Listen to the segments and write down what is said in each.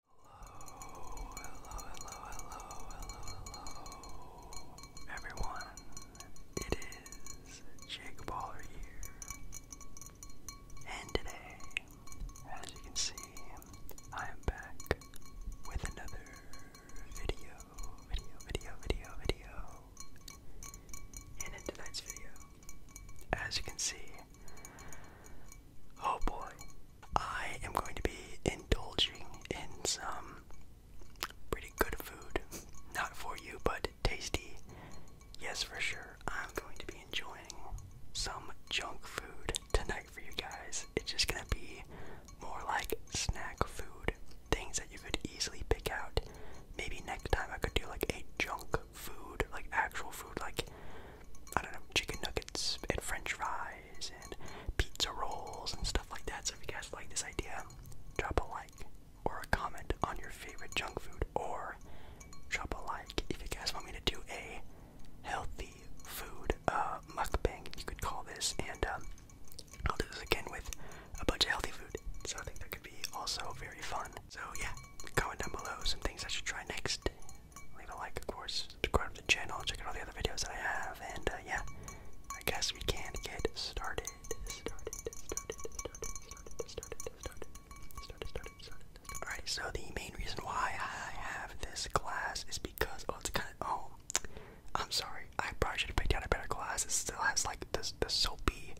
Hello, hello, hello, hello, hello, hello, everyone. It is Jake Baller here, and today, as you can see, I am back with another video, video, video, video, video. And in tonight's video, as you can see, Oh boy. I am going to be indulging in some pretty good food. Not for you, but tasty. Yes, for sure. I'm going to be enjoying some junk food tonight for you guys. It's just going to be more like snack food. Things that you could easily pick out. Maybe next time I could do like a junk food, like actual food, like I don't know, chicken nuggets and french fries and pizza rolls and stuff like that. So if you guys like this idea, drop a like or a comment on your favorite junk food or drop a like if you guys want me to do a healthy food uh, mukbang, you could call this. And um, I'll do this again with a bunch of healthy food. So I think that could be also very fun. So yeah, comment down below some things I should try next. Leave a like, of course, subscribe to the channel, check out all the other videos I have, and uh, yeah, I guess we can get started. Alright, so the main reason why I have this glass is because, oh, it's kind of, oh, I'm sorry, I brought you to pick out a better glass. It still has like the, the soapy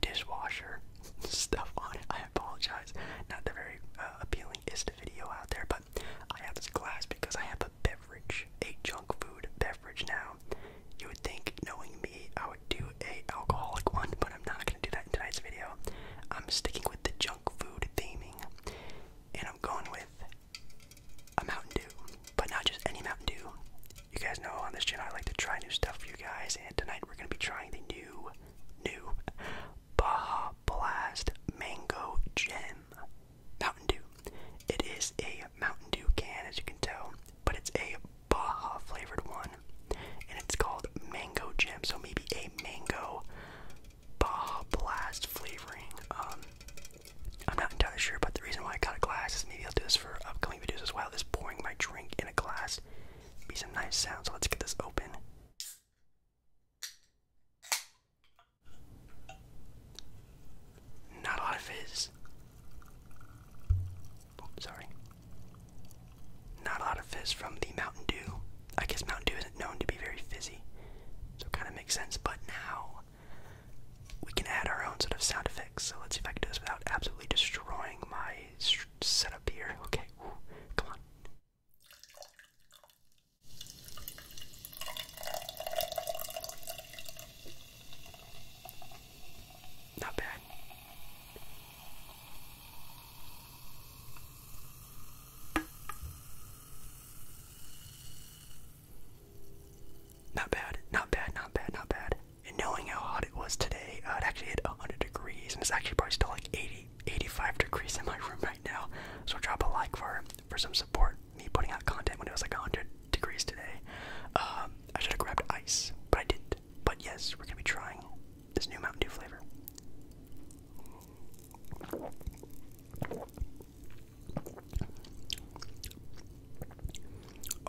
dishwasher stuff on it. I apologize. Not the very uh, appealing is the video out there, but I have this glass because I have a beverage, a junk food beverage now. You would think, knowing me, I would do a alcoholic one, but I'm not gonna do that in tonight's video. I'm sticking with the junk food theming, and I'm going with a Mountain Dew, but not just any Mountain Dew. You guys know on this channel I like to try new stuff for you guys, and tonight we're gonna be trying the new, new Baja Blast Mango Gem Mountain Dew. It is a Mountain Dew can, as you can tell, but it's a Baja flavored one, and it's called Mango Jam. So maybe a mango Baja Blast flavoring. Um, I'm not entirely sure, but the reason why I got a glass is maybe I'll do this for upcoming videos as well. This pouring my drink in a glass, be some nice sound. So let's get this open. Not a lot of fizz. Oh, sorry. Not a lot of fizz from the Mountain Dew. I guess Mountain Dew isn't known to be very fizzy, so it kind of makes sense. But now we can add our own sort of sound effects. So let's see if I can do this without absolutely destroying my setup here. Okay, come on. Not bad. Not bad, not bad, not bad, And knowing how hot it was today. Uh, it actually hit 100 degrees, and it's actually probably still like 80, 85 degrees in my room right now. So drop a like for for some support. Me putting out content when it was like 100 degrees today. Um, I should have grabbed ice, but I didn't. But yes, we're gonna be trying this new Mountain Dew flavor.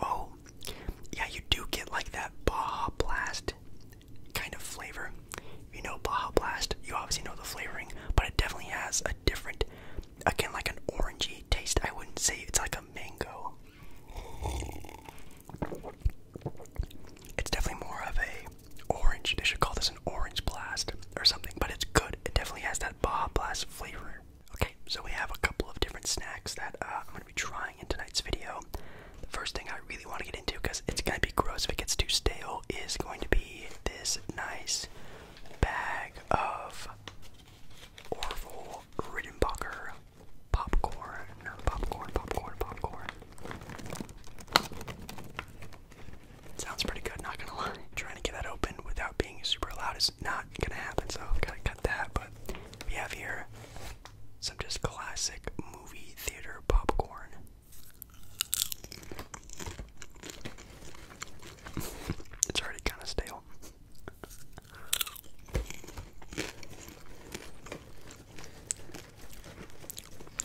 Oh, yeah, you do get like that Baja Blast kind of flavor. You know Baja Blast, you obviously know the flavoring, but it definitely has a different, again, like an orangey taste. I wouldn't say it's like a mango. It's definitely more of a orange. They should call this an orange blast or something, but it's good. It definitely has that Baja Blast flavor. Okay, so we have a couple of different snacks that uh, I'm gonna trying in tonight's video. The first thing I really want to get into, because it's going to be gross if it gets too stale, is going to be this nice bag of Orville Rittenbacher popcorn. Popcorn, popcorn, popcorn. Sounds pretty good, not gonna lie. Trying to get that open without being super loud is not gonna happen, so I've gotta cut that. But we have here some just classic movie theater popcorn. it's already kind of stale.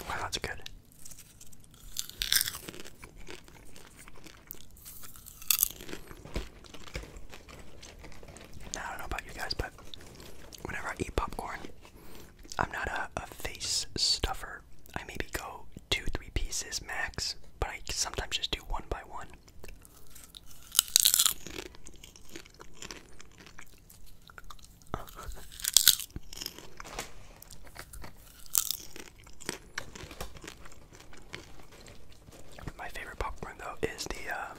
Wow, that's good. I don't know about you guys, but whenever I eat popcorn, I'm not a face stuffer. I maybe go two, three pieces max, but I sometimes just do one by one. My favorite popcorn though is the uh,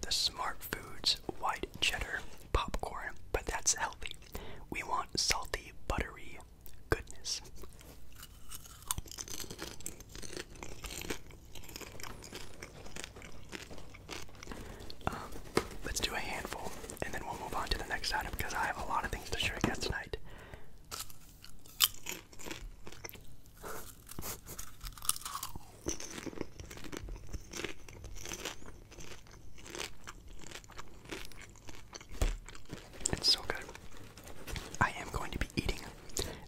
the Smart Foods white cheddar popcorn, but that's healthy. We want salty, buttery goodness. Um, let's do a handful, and then we'll move on to the next item because I have a lot of things to show you guys tonight. It's so good. I am going to be eating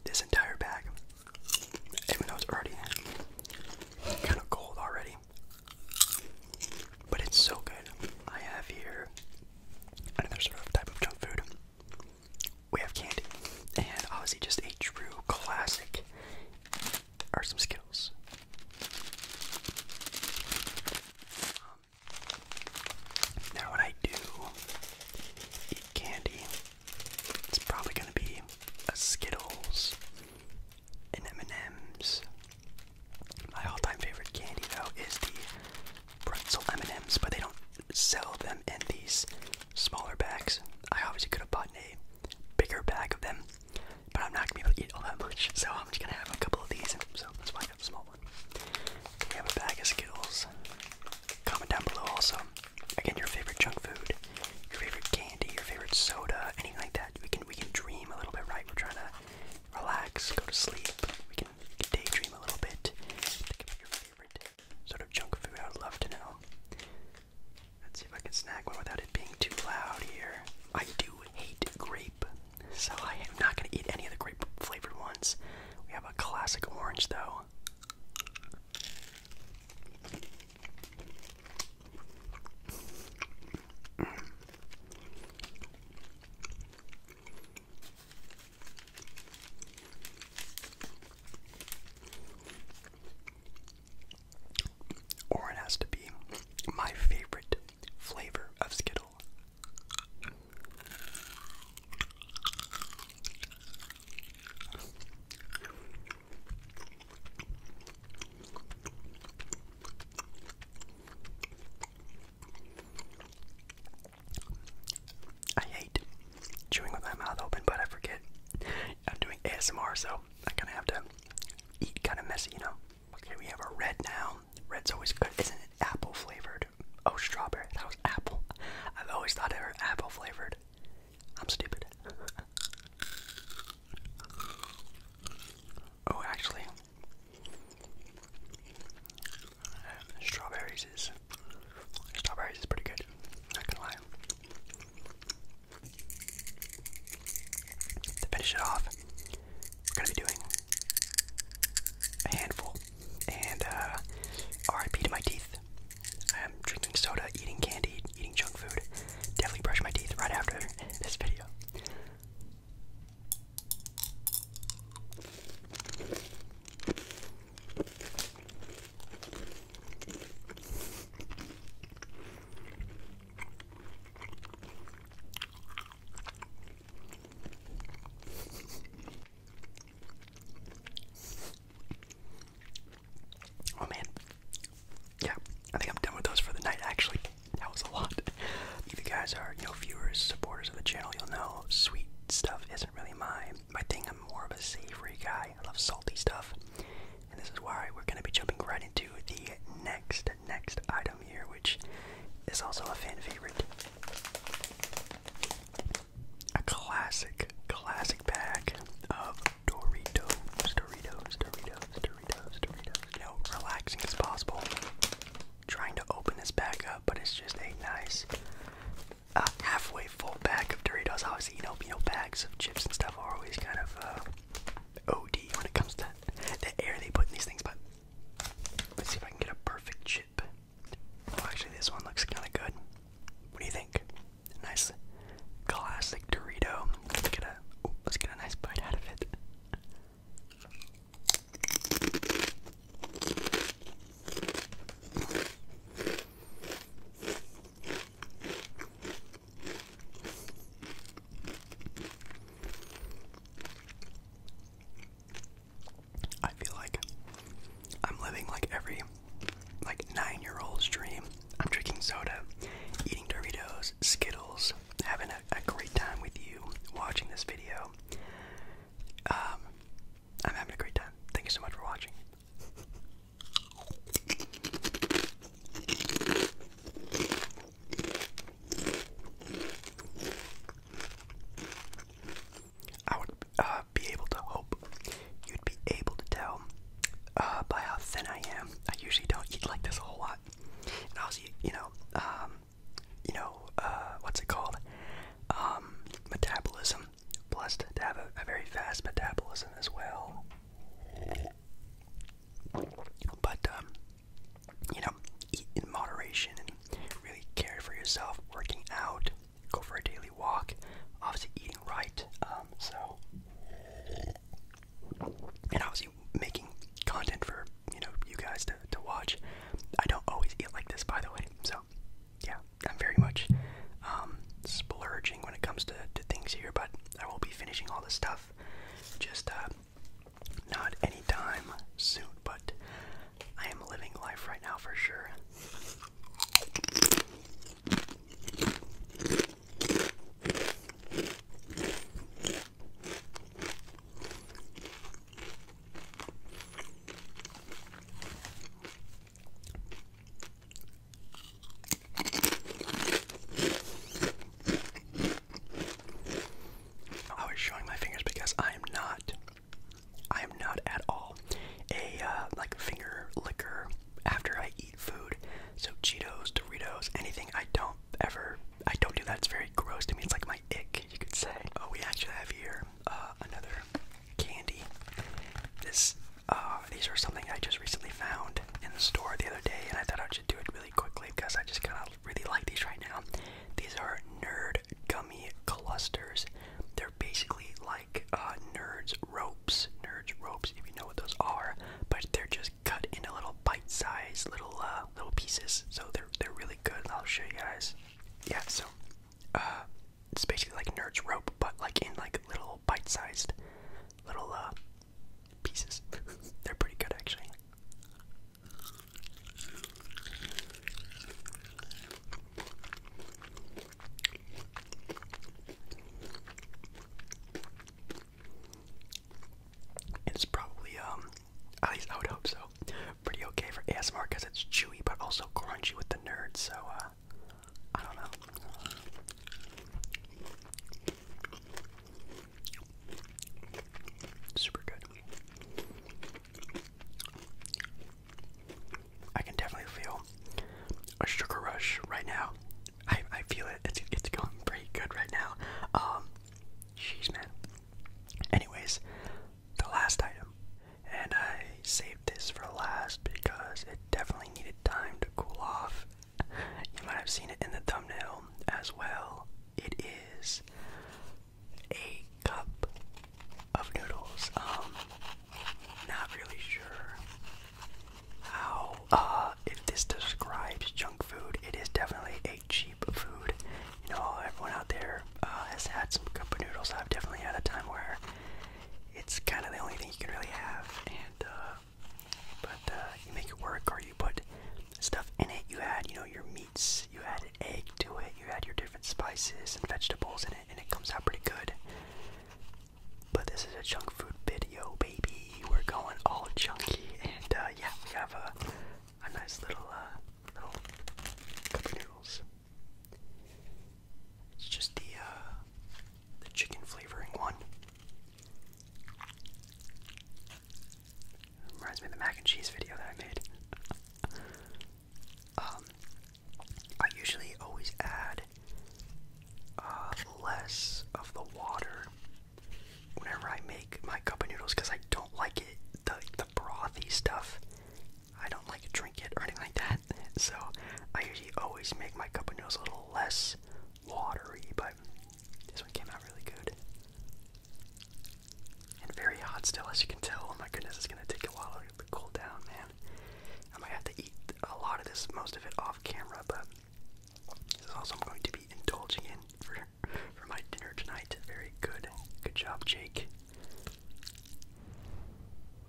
this entire bag, even though it's already kind of cold already. But it's so good. I have here another sort of type of junk food we have candy, and obviously just a true classic are some Skittles. Um, now, when I do eat candy, it's probably going to be a Skittles and M&M's. My all-time favorite candy, though, is the pretzel M&M's, but they don't sell them them in these smaller bags. I obviously could have bought a bigger bag of them, but I'm not gonna be able to eat all that much, so I'm just gonna have a couple of these. So that's why I got a small one. We have a bag of Skittles. Comment down below also. Again, your favorite junk food, your favorite candy, your favorite soda, anything like that. We can we can dream a little bit, right? We're trying to relax, go to sleep. We can, daydream a little bit favorite sort of junk food. I would love to know. Let's see if I can snag one without it being too loud here. I do hate grape, so I am not going to eat any of the grape flavored ones. We have a classic orange though. Or it has to be my favorite flavor of Skittle. I hate chewing with my mouth open, but I forget I'm doing ASMR, so I am gonna have to eat kind of messy, you know. Okay, we have a red now. Red's always good. Isn't it apple flavored? Oh, strawberry. That was apple. I've always thought it were apple flavored. I'm stupid. Oh, actually, strawberries is strawberries is pretty good. Not gonna lie. To finish it off, we're gonna be doing a handful. And uh, R.I.P. to my teeth. I am drinking soda, eating candy, eating junk food. Definitely brush my teeth right after this video. Oh man. Yeah, I think I'm done with those for the night actually. That was a lot. If you guys are, you know, viewers, supporters of the channel, you'll know sweet stuff isn't really my my thing. I'm more of a savory guy. I love salty stuff, and this is why we're gonna be jumping right into the next next item here, which is also a fan favorite. A classic, classic pack of Doritos, Doritos, Doritos, Doritos, Doritos. No relaxing as possible. Trying to open this back up, but it's just a nice uh, halfway full bag of Doritos. Obviously, you know, you know, bags of chips and stuff are always kind of uh, OD when it comes to the air they put in these things. But let's see if I can get a perfect chip. Oh, actually, this one looks kind of good. What do you think? Nice classic Dorito. Let's get a, let's get a nice bite out of it. I feel like I'm living like every like 9-year-old's dream. I'm drinking soda, eating Doritos, Skittles, having a, a great time with you watching this video. Um, I'm having a great time. Thank you so much for watching. I would uh, be able to hope you'd be able to tell uh, by how thin I am. I usually don't eat like this a whole lot. And I you know, um, you know, uh, what's it called? Um, metabolism. Blessed to have a, very fast metabolism as well. But, um, you know, eat in moderation and really care for yourself, working out, go for a daily walk, obviously eating right. Um, so, and obviously making content for you know you guys to to watch. I don't always eat like this, by the way. So yeah, I'm very much um, splurging when it comes to to things here, but I will be finishing all this stuff. Just uh, not anytime soon, but I am living life right now for sure. Oh, I was showing my fingers because I am not, I am not at all a uh, like finger liquor after I eat food. So Cheetos, Doritos, anything I don't ever, I don't do that. It's very gross to me. It's like my ick, you could say. Oh, we actually have here uh, another candy. This, uh, these are something I just recently found in the store the other day, and I thought I should do it really quickly because I just kind of really like these right now. These are nerd gummy clusters. They're basically like uh, nerds ropes, nerds ropes, if you know what those are, but they're just cut into little bite-sized little little pieces. So they're they're really good. I'll show you guys. Yeah, so uh, it's basically like Nerds rope, but like in like little bite-sized little uh, pieces. They're pretty good actually. It's probably um at least I would hope so. Pretty okay for ASMR because it's chewy but also crunchy with the nerds, so uh, I don't know. Super good. I can definitely feel a sugar rush right now. I I feel it. It's it's going pretty good right now. Um, jeez, man. Anyways, the last item, and I saved this for last because it definitely needed time to cool off. You might have seen it in the thumbnail as well. It is a cup of noodles. Um, not really sure how uh if this describes junk food. It is definitely a cheap cheap food. You know, everyone out there uh, has had some cup of noodles. I've definitely had a time where it's kind of the only thing you can really have, and uh, but uh, you make it work, or you put stuff in it. You add, you know, your meats. You add an egg to it. You add your different spices and vegetables in it, and it comes out pretty good. But this is a junk food video, baby. We're going all junky, and uh, yeah, we have a a nice little uh, little cup noodles. It's just the uh, the chicken flavoring one. Reminds me of the mac and cheese video that I made. um, I usually always add uh, less of the water whenever I make my cup of noodles because I don't like it, the, the brothy stuff. I don't like drink it or anything like that. So I usually always make my cup of noodles a little less watery, but this one came out really good. And very hot still, as you can tell. Oh my goodness, it's gonna take a while to cool down, man. I might have to eat a lot of this, most of it off camera, but this is also I'm going to be indulging in for for my dinner tonight. Very good. Good job, Jake.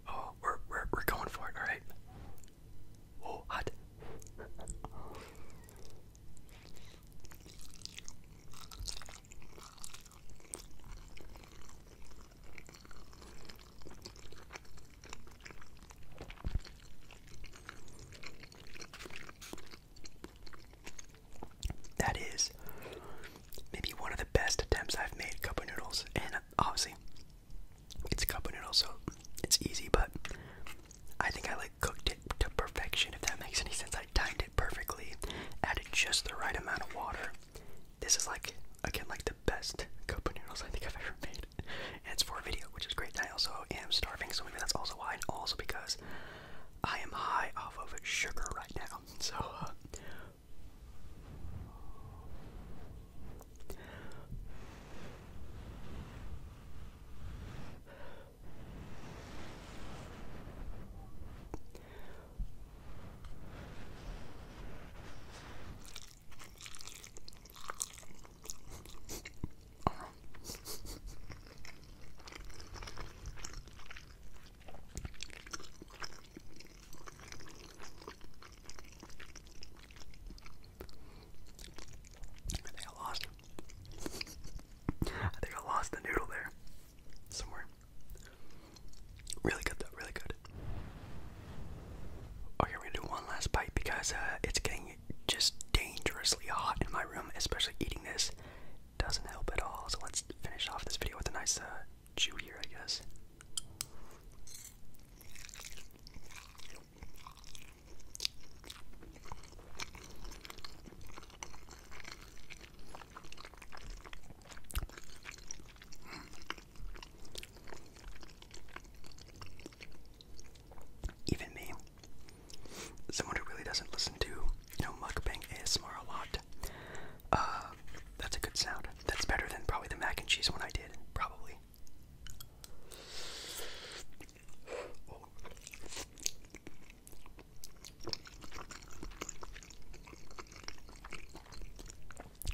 Oh, we're we're we're going for it, alright. Oh, hot. That is maybe one of the best attempts I've made cup noodles, and uh, obviously it's cup of noodles, so it's easy. But I think I like cooked it to perfection, if that makes any sense. I timed it perfectly, added just the right amount of water. This is like again like the best cup noodles I think I've ever made. And it's for a video, which is great. I also am starving, so maybe that's also why, and also because I am high off of sugar right now. So, uh, I think I lost. I lost the noodle there. Somewhere. Really good though, really good. Okay, we do one last bite because uh, it's getting just dangerously hot in my room, especially eating this doesn't help at all. So let's finish off this video with a nice uh, chew here, I guess even me, someone who really doesn't listen to, you know, mukbang ASMR a lot, uh, that's a good sound. That's better than probably the mac and cheese one I did, probably.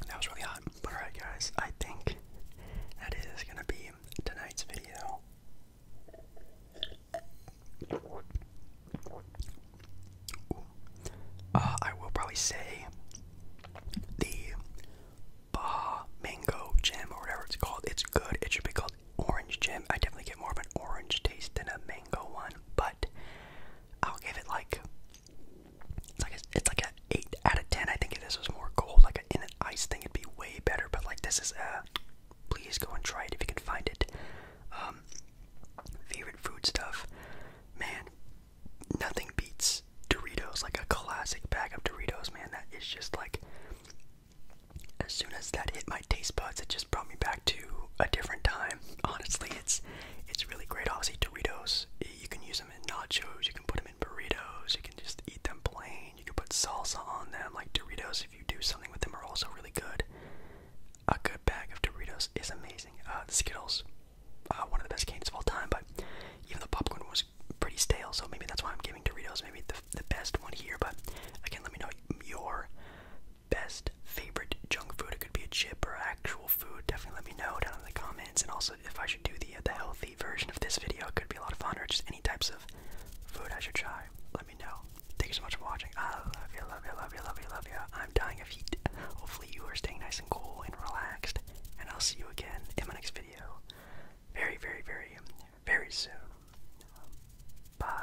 That was really hot. Alright, guys, I think that is gonna be tonight's video. Uh, I will probably say the Baja Mango Jam or whatever it's called. It's good. It should be called Orange Jam. I definitely get more of an orange taste than a mango one, but I'll give it like it's like a, it's like a eight out of ten. I think if this was more gold, like in an ice thing, it'd be way better. But like this is a. Uh, please go and try it if you can find it. Um, favorite food stuff, man. Nothing beats Doritos. Like a classic bag of Doritos, man. That is just like. As soon as that hit my taste buds, it just brought me back to a different time. Honestly, it's it's really great. Obviously, Doritos. You can use them in nachos. You can put them in burritos. You you can just eat them plain. You can put salsa on them, like Doritos. If you do something with them, are also really good. A good bag of Doritos is amazing. Uh, the Skittles, uh, one of the best candies of all time, but even the popcorn was pretty stale. So maybe that's why I'm giving Doritos maybe the the best one here. But again, let me know your best favorite junk food. It could be a chip or actual food. Definitely let me know down in the comments. And also if I should do the uh, the health version of this video. It could be a lot of fun, or just any types of food I should try. Let me know. Thank you so much for watching. I love you, love you, love you, love you, love you. I'm dying of heat. Hopefully, you are staying nice and cool and relaxed. And I'll see you again in my next video. Very, very, very, very soon. Bye.